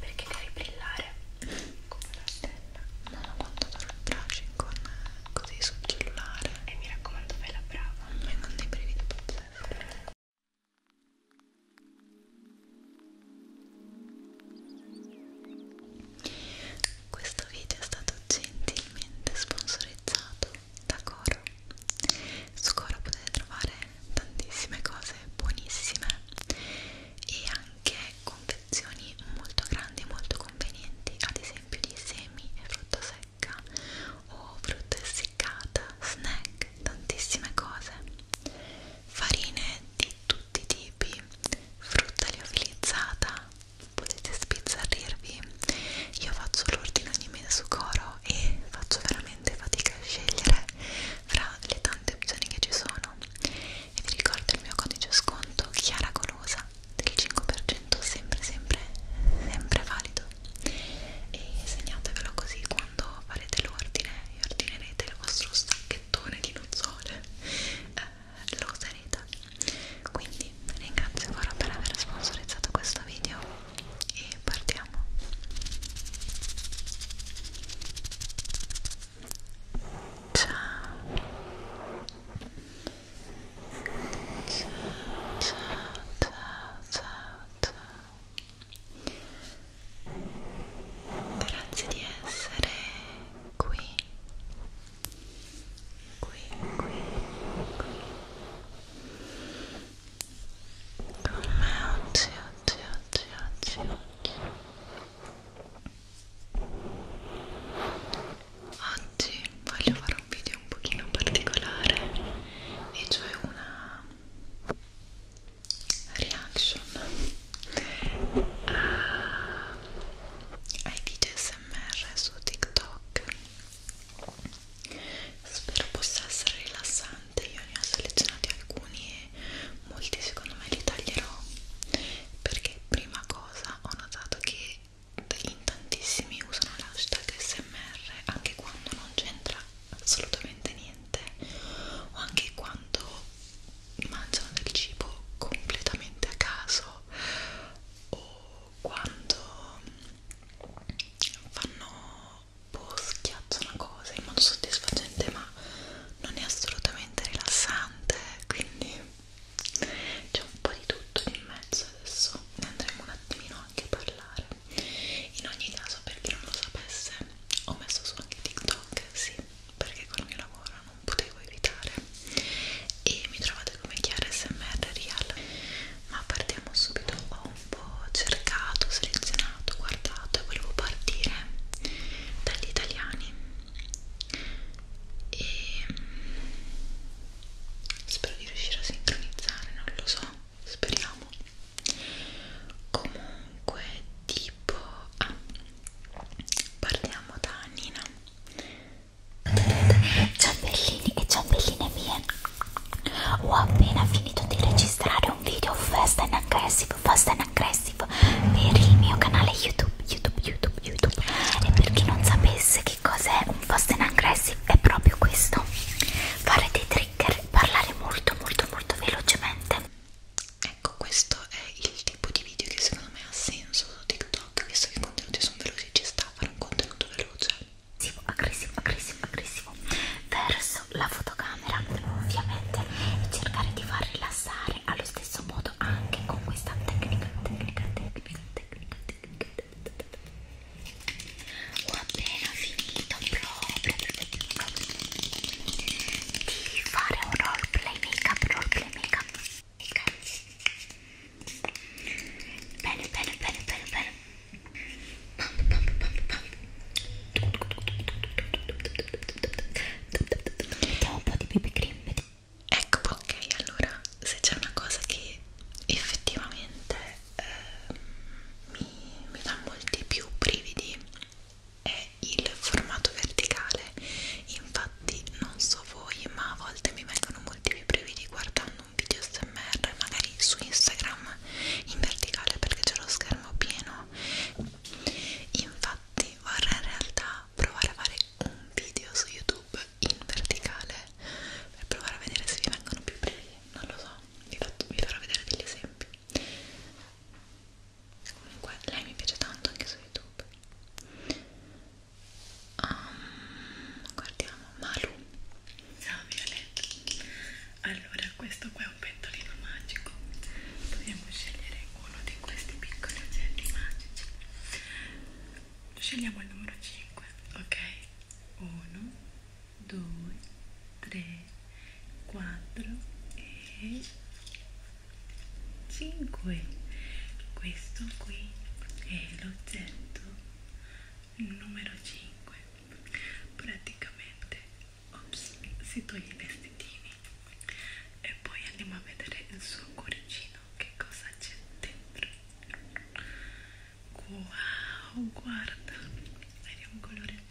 Perché devi brillare come una stella? Non ho fatto il brushing con così sul cellulare. E mi raccomando, fai la brava. Mi hanno dei brividi pazzeschi. Questo video è stato gentilmente sponsorizzato da Coro su Cora potete trovare tantissime cose buonissime e anche confezioni molto grandi e molto convenienti ad esempio di semi e frutta secca o frutta essiccata, snack, tantissime cose farine di tutti i tipi frutta liofilizzata potete sbizzarrirvi io faccio l'ordine ogni mese su Coro ho e faccio veramente fatica a scegliere fra le tante opzioni che ci sono e vi ricordo il mio codice sconto Chiara Golosa del 5% sempre sempre sempre valido e segnatevelo così quando farete l'ordine e ordinerete il vostro stacchettone di nocciole eh, lo userete quindi ringrazio ancora per aver sponsorizzato questo video e partiamo ciao ciao ciao ciao ciao grazie di essere qui qui qui qui con me oggi, oggi, oggi, oggi, oggi Oggi voglio fare un video un pochino particolare e cioè una reaction a, ai video smr su TikTok spero possa essere rilassante tante io ne ho selezionati alcuni e molti secondo me li taglierò perché prima cosa ho notato che in tantissimi usano l'hashtag smr anche quando non c'entra assolutamente niente o anche quando mangiano del cibo completamente a caso o quando fanno troppo schiaccia una cosa in modo soddisfacente ma non è assolutamente rilassante quindi c'è un po' di tutto in mezzo adesso ne andremo un attimino anche a parlare in ogni caso per chi non lo sapesse ho messo su anche TikTok sì perché col mio lavoro non potevo evitare e mi trovate come chiara smr real ma partiamo subito ho un po' cercato, selezionato, guardato e volevo partire dagli italiani e mm, spero di riuscire a sincronizzare, non lo so, speriamo comunque tipo ah, partiamo da Nina Ciambellini e Ciambellini mie ho appena finito di registrare un video Fast and Aggressive, Fast and Aggressive per il mio canale YouTube, YouTube, YouTube, YouTube. E per chi non sapesse che cos'è un Fast and Aggressive è proprio questo. Fare dei trigger, parlare molto, molto, molto velocemente. Ecco, questo è il tipo di video che secondo me ha senso su TikTok, visto che i contenuti sono veloci, ci sta a fare un contenuto veloce aggressivo, aggressivo, aggressivo, aggressivo verso la fotocamera ovviamente e cercare di far rilassare allo stesso modo anche con questa tecnica, tecnica, tecnica, tecnica, tecnica. Ho appena finito proprio, proprio, proprio di fare un roleplay make-up, roleplay make-up. Bene, bene, bene, bene, bene. Mettiamo un po' di BB cream. Ecco, ok, allora se c'è una cosa che effettivamente eh, mi, mi dà molti più brividi è il formato verticale. Infatti, non so voi, ma a volte mi vengono molti più brividi guardando un video SMR, magari su Instagram in verticale perché c'è lo schermo pieno infatti vorrei in realtà provare a fare un video su youtube in verticale per provare a vedere se vi vengono più brevi non lo so vi, fatto, vi farò vedere degli esempi comunque lei mi piace tanto anche su youtube Um, guardiamo Malu Ciao ah, Violetta. Allora, questo qua è un pentolino magico. Dobbiamo scegliere uno di questi piccoli oggetti magici. Scegliamo il numero 5, ok? 1, 2, 3, 4 e 5. Questo qui è l'oggetto numero 5 praticamente ops, si toglie i vestitini e poi andiamo a vedere il suo cuoricino che cosa c'è dentro wow guarda è di un colore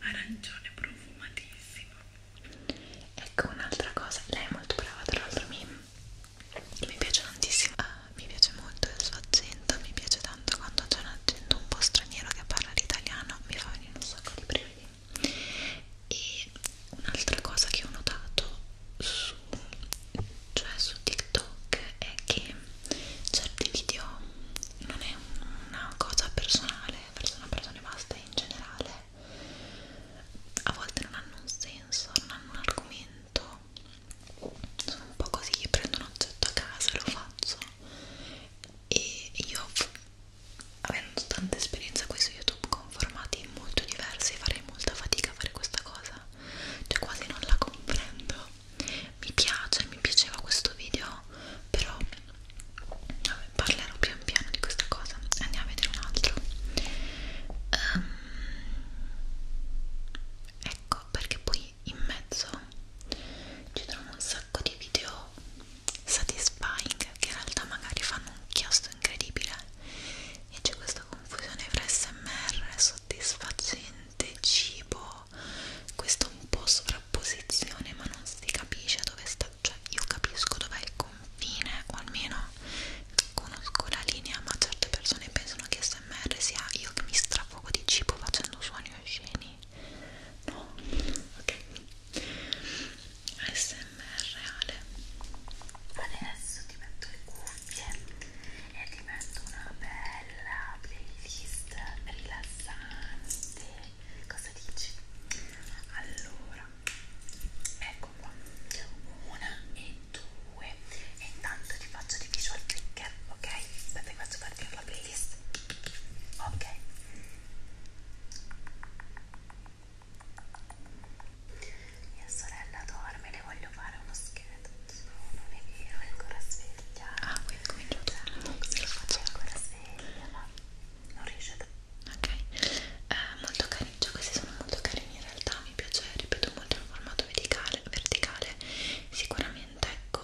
arancione profumatissimo ecco un'altra cosa lei è molto brava tra l'altro mi, mi piace tantissimo ah, mi piace molto il suo accento, mi piace tanto quando c'è un accento un po' straniero che parla l'italiano, mi fa venire un sacco di brividi. E un'altra cosa che ho notato su, cioè su TikTok è che certi video non è una cosa personale, persona persone basta in generale, a volte non hanno un senso, non hanno un argomento sono un po' così che prendo un oggetto a casa e lo faccio e io avendo tanta esperienza qui su youtube con formati molto diversi farei molta fatica a fare questa cosa cioè quasi non la comprendo mi piace, mi piaceva questo video però vabbè, parlerò pian piano di questa cosa andiamo a vedere un altro um, ecco perché poi lì in mezzo ci trovo un sacco di video satisfying che in realtà magari fanno un chiasto incredibile e c'è questa confusione fra smr, soddisfacente, cibo questo un po' sovrapposizione ma non si capisce dove sta cioè io capisco dov'è il confine o almeno conosco la linea ma certe persone pensano che sia ASMR sia io che mi strafogo di cibo facendo suoni osceni no? ok ASMR reale adesso ti metto le cuffie e ti metto una bella playlist rilassante cosa dici? allora ecco qua una e due e intanto ti faccio di visual clicker, ok? Aspetta che faccio partire la playlist, ok? Mia sorella dorme, le voglio fare uno scherzo. No, non è vero, è ancora sveglia. Ah, quindi cominciato. Certo, sì, lo faccio ancora sveglia, ma non riesce a Ok, eh, molto carini, cioè questi sono molto carini in realtà, mi piace, ripeto molto il formato verticale, verticale. sicuramente diversamente ecco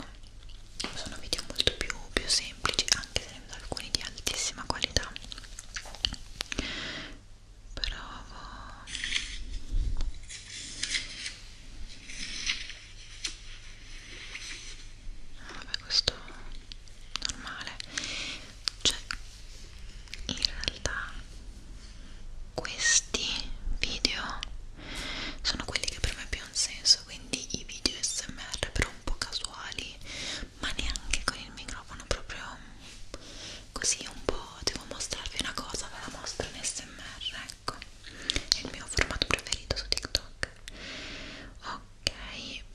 sono video molto più, più semplici anche se ne vedo alcuni di altissima qualità provo vabbè questo normale cioè in realtà questi video sono quelli che per me più hanno senso quindi i video smr però un po' casuali ma neanche con il microfono proprio così un po' devo mostrarvi una cosa ve la mostro in smr ecco è il mio formato preferito su tiktok ok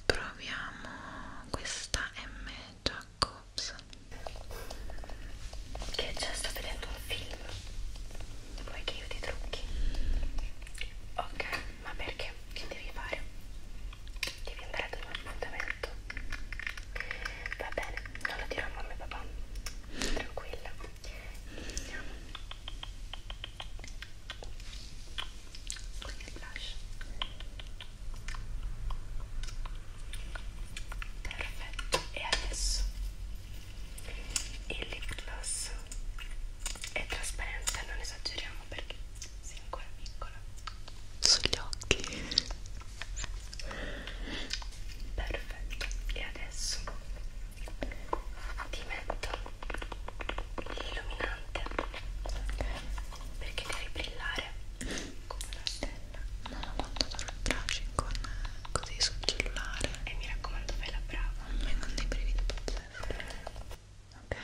proviamo questa M Jacobs che già sto vedendo un film vuoi che io ti trucchi? ok ma perché? che devi fare? devi andare ad un appuntamento va bene non lo dirò a mamma e papà tranquilla iniziamo con il blush perfetto e adesso il lip gloss è trasparente, non esageriamo perché sei ancora piccola sugli occhi perfetto e adesso ti metto l'illuminante perché devi brillare come una stella non ho quanto dare il brushing con così sul cellulare e mi raccomando fai la brava vengono dei brividi pazzeschi ok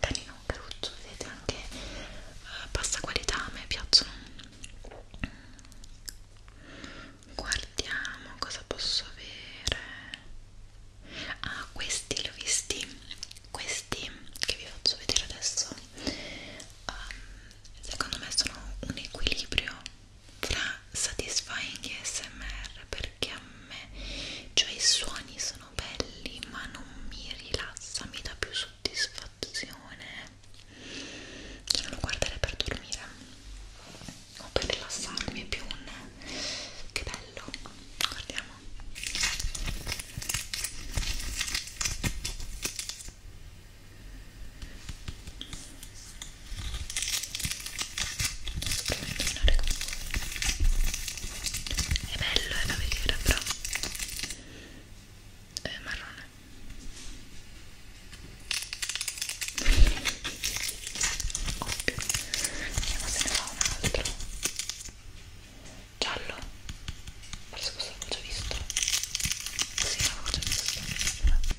carino caruccio vedete anche uh, bassa qualità a me piacciono guardiamo cosa posso avere ah questi li ho visti questi che vi faccio vedere adesso um, secondo me sono un equilibrio tra satisfying e smr perché a me cioè i suoni sono belli ma non mi rilassa mi dà più soddisfazione cioè non lo guardare per dormire o per rilassarmi è più un che bello guardiamo tornare con voi è bello è eh, da vedere però è eh, marrone ovvio vediamo se ne fa un altro giallo forse questo l'avevo già visto sì l'avevo già visto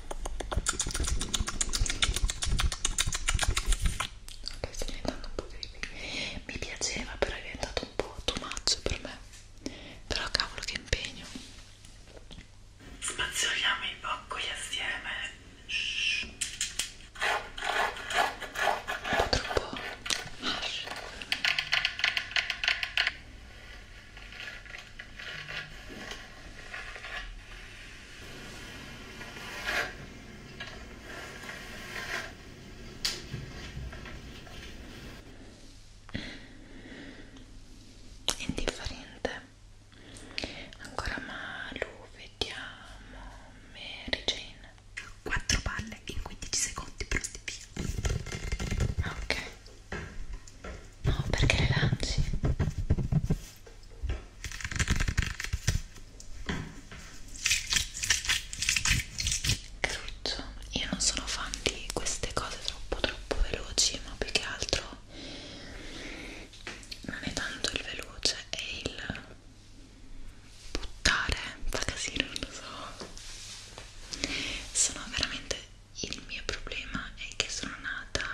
Ok, sto diventando un po' creepy. Mi piaceva, però è diventato un po' too much per me. Però cavolo che impegno. Spazzoliamo i boccoli assieme. Shhh. Un po' troppo harsh. Indifferente. Ancora Malu, vediamo. Mary Jane. 4 palle in 15 secondi, pronti via. Ok. No, perché le lanci? Caruccio, io non sono fan di queste cose troppo troppo veloci, ma più che altro non è tanto il veloce, è il buttare, fa casino, non lo so. Sono veramente il mio problema è che sono nata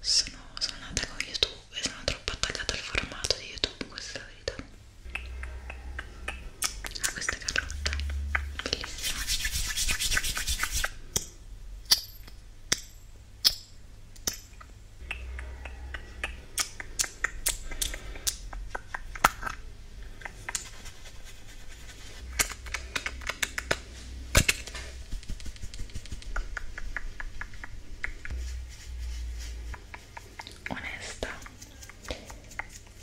sono, sono nata con YouTube e sono troppo attaccata al formato di YouTube, questa è la verità. Ah, questa è Carlotta, bellissima onesta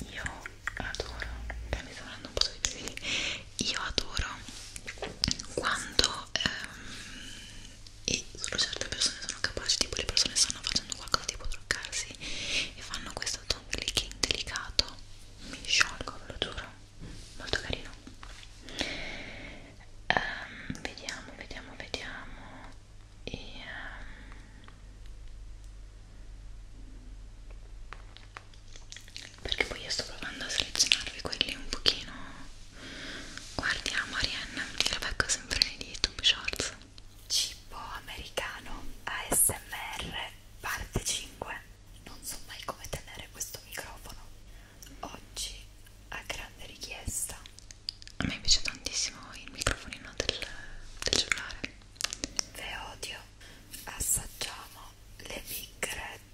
io adoro beh, mi sta dando un po' di piedi io adoro quando ehm, e solo certe persone sono capaci tipo le persone stanno facendo qualcosa tipo truccarsi e fanno questo ton clicking delicato mi sciolgo ve lo giuro molto carino um, vediamo vediamo vediamo e, um, perché poi io sto provando a selezionarvi quelli un pochino guardiamo Arianna che la becco sempre nei youtube shorts cibo americano ASMR parte 5 non so mai come tenere questo microfono oggi a grande richiesta a me piace tantissimo il microfonino del, del cellulare ve odio assaggiamo le big red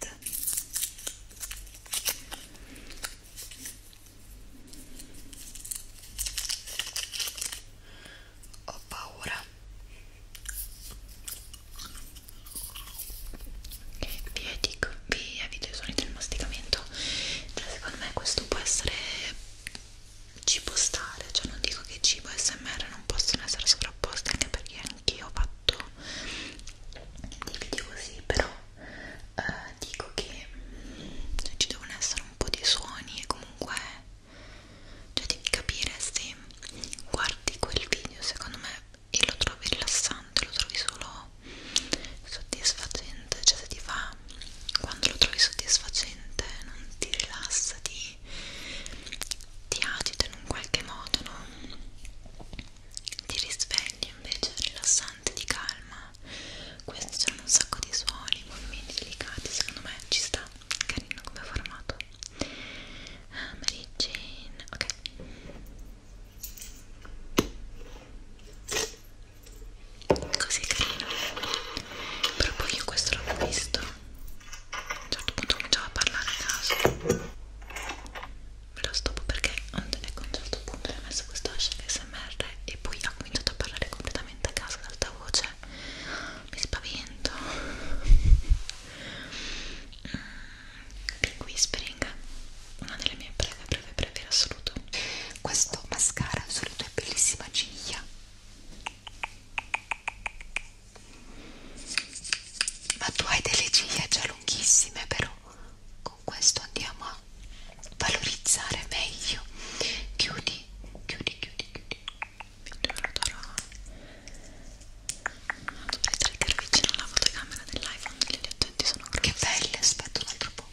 ho paura vi, dico, vi evito i suoni del masticamento cioè secondo me questo può essere ci può stare cioè non dico che cibo e smr non possono essere sovrapposti anche perché anch'io ho fatto dei video così però eh, dico che cioè, ci devono essere un po' di suoni e comunque cioè devi capire se guardi quel video secondo me e lo trovi rilassante lo trovi solo soddisfacente cioè se ti fa quando lo trovi soddisfacente non ti rilassa ti, ti agita in un qualche modo no? ti risvegli invece rilassante di calma questo c'è un sacco di suoni movimenti delicati secondo me ci sta carino come formato ah, Mary Jane ok così carino però poi io questo l'avevo visto a un certo punto cominciavo a parlare a caso ve lo stoppo perché ecco a un certo punto ho messo questo hashtag smr e poi ha cominciato a parlare completamente a caso ad alta voce mi spavento di Whispering una delle mie breve breve breve in assoluto questo mascara sulle tue bellissime ciglia ma tu hai delle ciglia già lunghissime però con questo andiamo a valorizzare meglio chiudi chiudi chiudi chiudi migliorerò Vado a mettere vicino alla fotocamera dell'iPhone degli oggetti sono grossi. Che belle, aspetta un altro po'.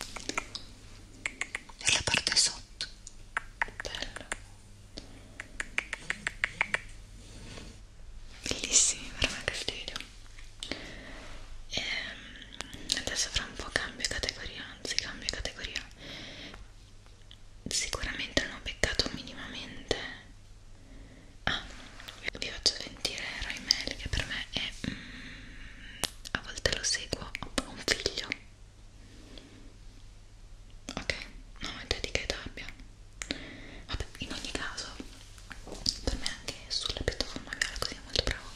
E la parte sotto. Bello. Bellissimi veramente il video. E ehm, adesso fra un po' cambio categoria, anzi cambio categoria sicuramente hanno peccato minimamente ah, vi faccio sentire Roy Mel che per me è mm, a volte lo seguo ho un figlio ok no è di che abbia vabbè in ogni caso per me anche sulla piattaforma viale così è molto bravo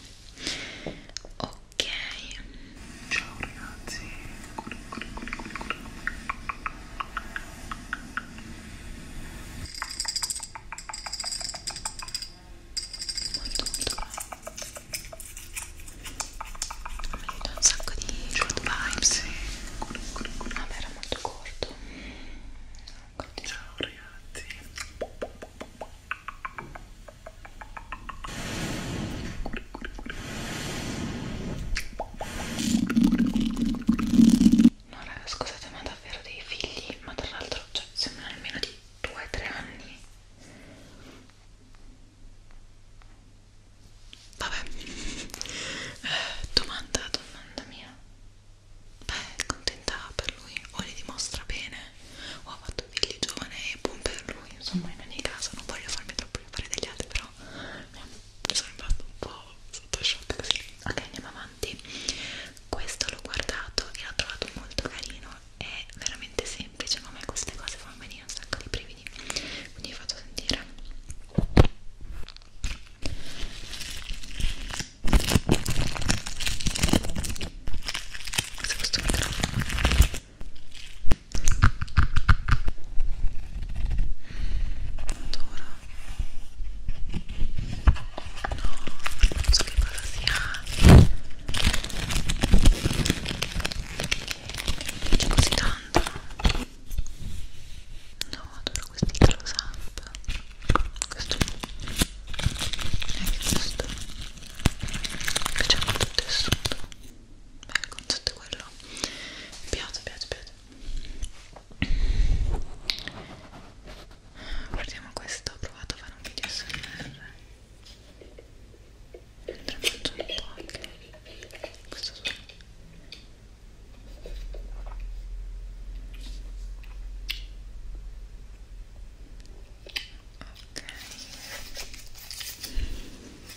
ok Ciao ragazzi. Molto molto bravo. Mi ha detto un sacco di good vibes. Ah, ma era molto corto. Ciao ragazzi. Ciao No raga, scusate ma davvero dei figli, ma tra l'altro cioè, sembrano almeno di 2-3 anni. Vabbè, eh, domanda, domanda mia. Beh, contenta per lui, o li dimostra bene, o ha fatto figli giovane e buon per lui, insomma in ogni caso non voglio farmi troppo fare degli altri, però mi sono rimasto un po' sotto shock così ok andiamo avanti questo l'ho guardato e l'ho trovato molto carino è veramente semplice ma a me queste cose fanno venire un sacco di brividi quindi vi faccio sentire se questo microfono Adoro. Oh no, non so che cosa sia. Mi piace così tanto. No, adoro questi close up. Questo e anche questo. Mi piace molto il tessuto beh, il concetto è quello mi piace, piace, piace guardiamo questo, ho provato a fare un video SMR mentre mangio un po' anche questo suono ok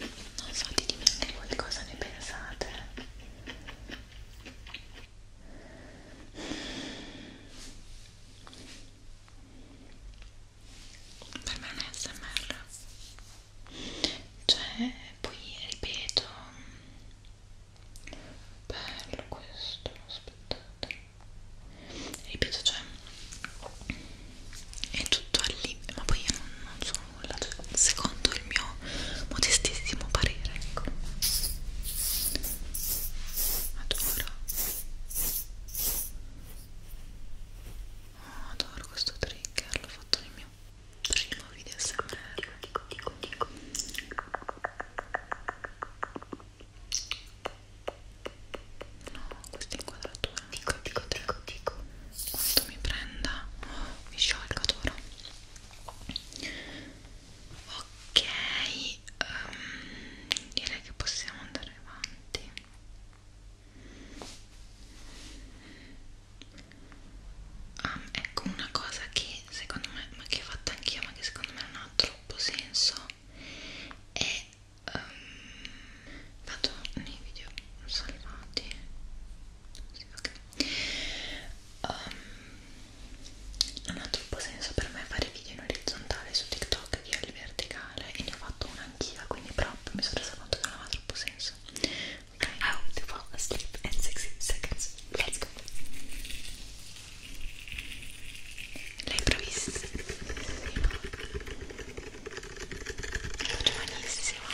non so ditemi anche voi cosa ne pensate per me è un smr cioè poi ripeto bello questo aspettate ripeto cioè è tutto al limite, ma poi io non, non so nulla, cioè, secondo il mio modestissimo parere, ecco. Adoro. Oh, adoro questo trigger, l'ho fatto nel mio primo video SMR, dico, dico, dico. No, questa inquadratura, dico, dico, dico, dico quanto mi prenda oh, mi sciolga d'ora ok um, direi che possiamo andare avanti um, ecco una cosa che secondo me ma che ho fatto anch'io ma che secondo me non ha troppo senso è um, vado nei video salvati sì, okay. um, non ha troppo senso per me fare video in orizzontale su TikTok che al verticale e ne ho fatto una anch'io quindi proprio mi sono resa conto che non aveva troppo senso ok I hope oh, to fall asleep in 60 seconds let's go l'hai provvisto? Sì, no giovanissima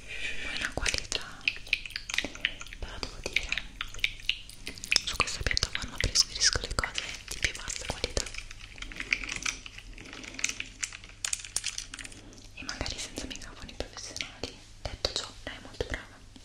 mi sento buona qualità però devo dire su questa piattaforma preferisco le cose di più bassa qualità e magari senza microfoni professionali detto ciò lei è molto brava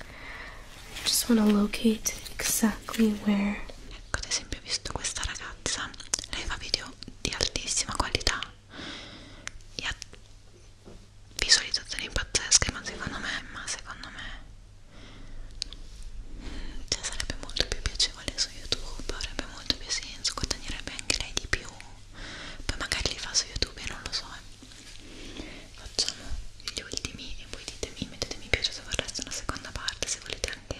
I just want to locate exactly where. Ecco, ad esempio, ho visto questa ragazza, lei fa video di altissima qualità e ha visualizzazioni pazzesche, ma secondo me, ma secondo me cioè, sarebbe molto più piacevole su YouTube, avrebbe molto più senso, guadagnerebbe anche lei di più. Poi magari li fa su YouTube e non lo so, è facciamo gli ultimi e voi ditemi, mettete mi piace se vorreste una seconda parte, se volete anche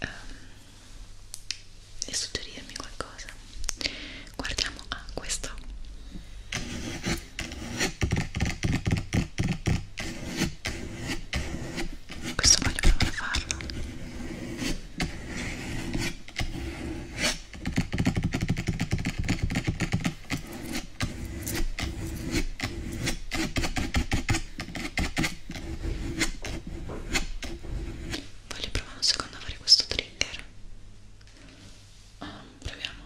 um, e suggerirmi qualcosa guardiamo a ah, questo questo voglio provare a farlo Voglio provare un secondo a fare questo trigger. Um, proviamo.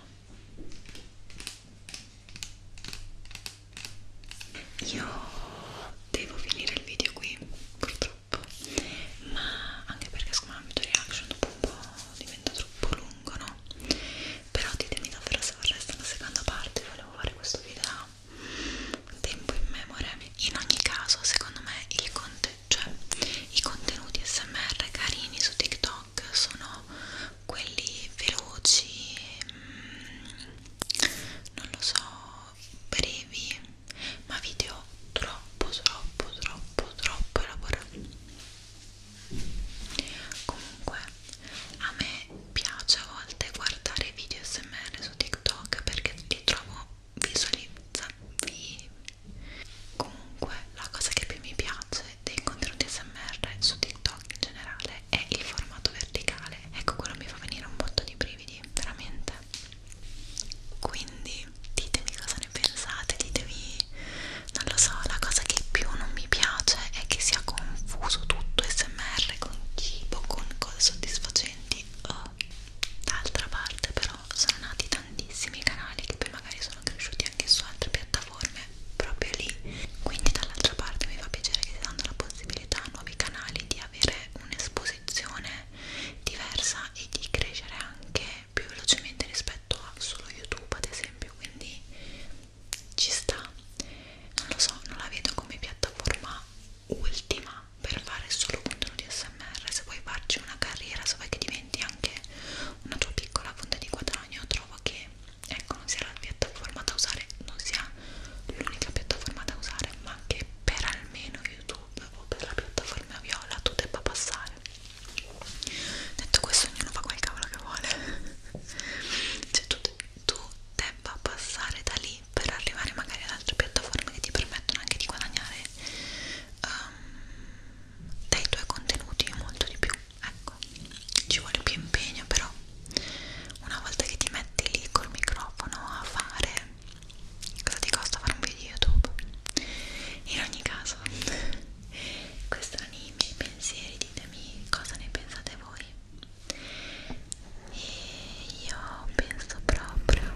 Io devo finire il video qui, purtroppo, ma anche perché secondo me il video reaction dopo un po' diventa troppo lungo, no? però ditemi davvero se vorreste una seconda parte volevo fare questo video da tempo in memoria in ogni caso secondo me il conte cioè, i contenuti smr carini su tiktok sono quelli veloci mh, mm, non lo so brevi ma video troppo troppo troppo troppo elaborati comunque a me piace a volte guardare video smr su tiktok perché li trovo visualizzabili comunque la cosa che più mi piace dei contenuti smr su tiktok in generale è il formato verticale ecco quello mi fa venire un botto di brividi veramente quindi ditemi cosa ne pensate ditemi non lo so, la cosa che più non mi piace è che sia confuso tutto SMR con cibo, con cose soddisfacenti. Oh. D'altra parte però sono nati tantissimi canali che poi magari sono cresciuti anche su altre piattaforme proprio lì. Quindi dall'altra parte mi fa piacere che si danno la possibilità a nuovi canali di avere un'esposizione diversa e di crescere anche più velocemente rispetto rispetto a ah, solo YouTube ad esempio, quindi ci sta. Non lo so, non la vedo come piattaforma ultima per fare solo contenuti SMR. Se vuoi farci una carriera, se vuoi che diventi anche una tua piccola fonte di guadagno, trovo che ecco non sia la piattaforma da usare, non sia l'unica piattaforma da usare, ma che per almeno YouTube o per la piattaforma viola tu debba passare detto questo ognuno fa quel cavolo che vuole cioè tu, tu debba passare da lì per arrivare magari ad altre piattaforme che ti permettono anche di guadagnare um, ehm, dai tuoi contenuti molto di più ecco ci vuole più impegno però una volta che ti metti lì col microfono a fare cosa ti costa fare un video youtube in ogni caso questi erano i miei pensieri, ditemi cosa ne pensate voi. E io penso proprio,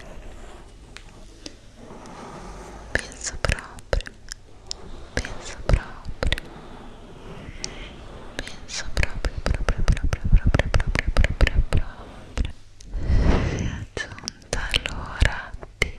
penso proprio, penso proprio, penso proprio, proprio, proprio, proprio, proprio, proprio, proprio. E aggiunta allora di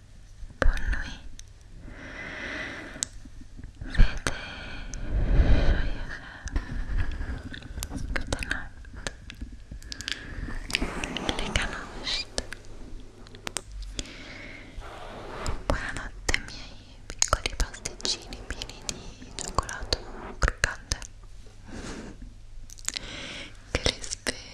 con lui vede good night le canocchie buonanotte i miei piccoli pasticcini pieni di cioccolato croccante che li spero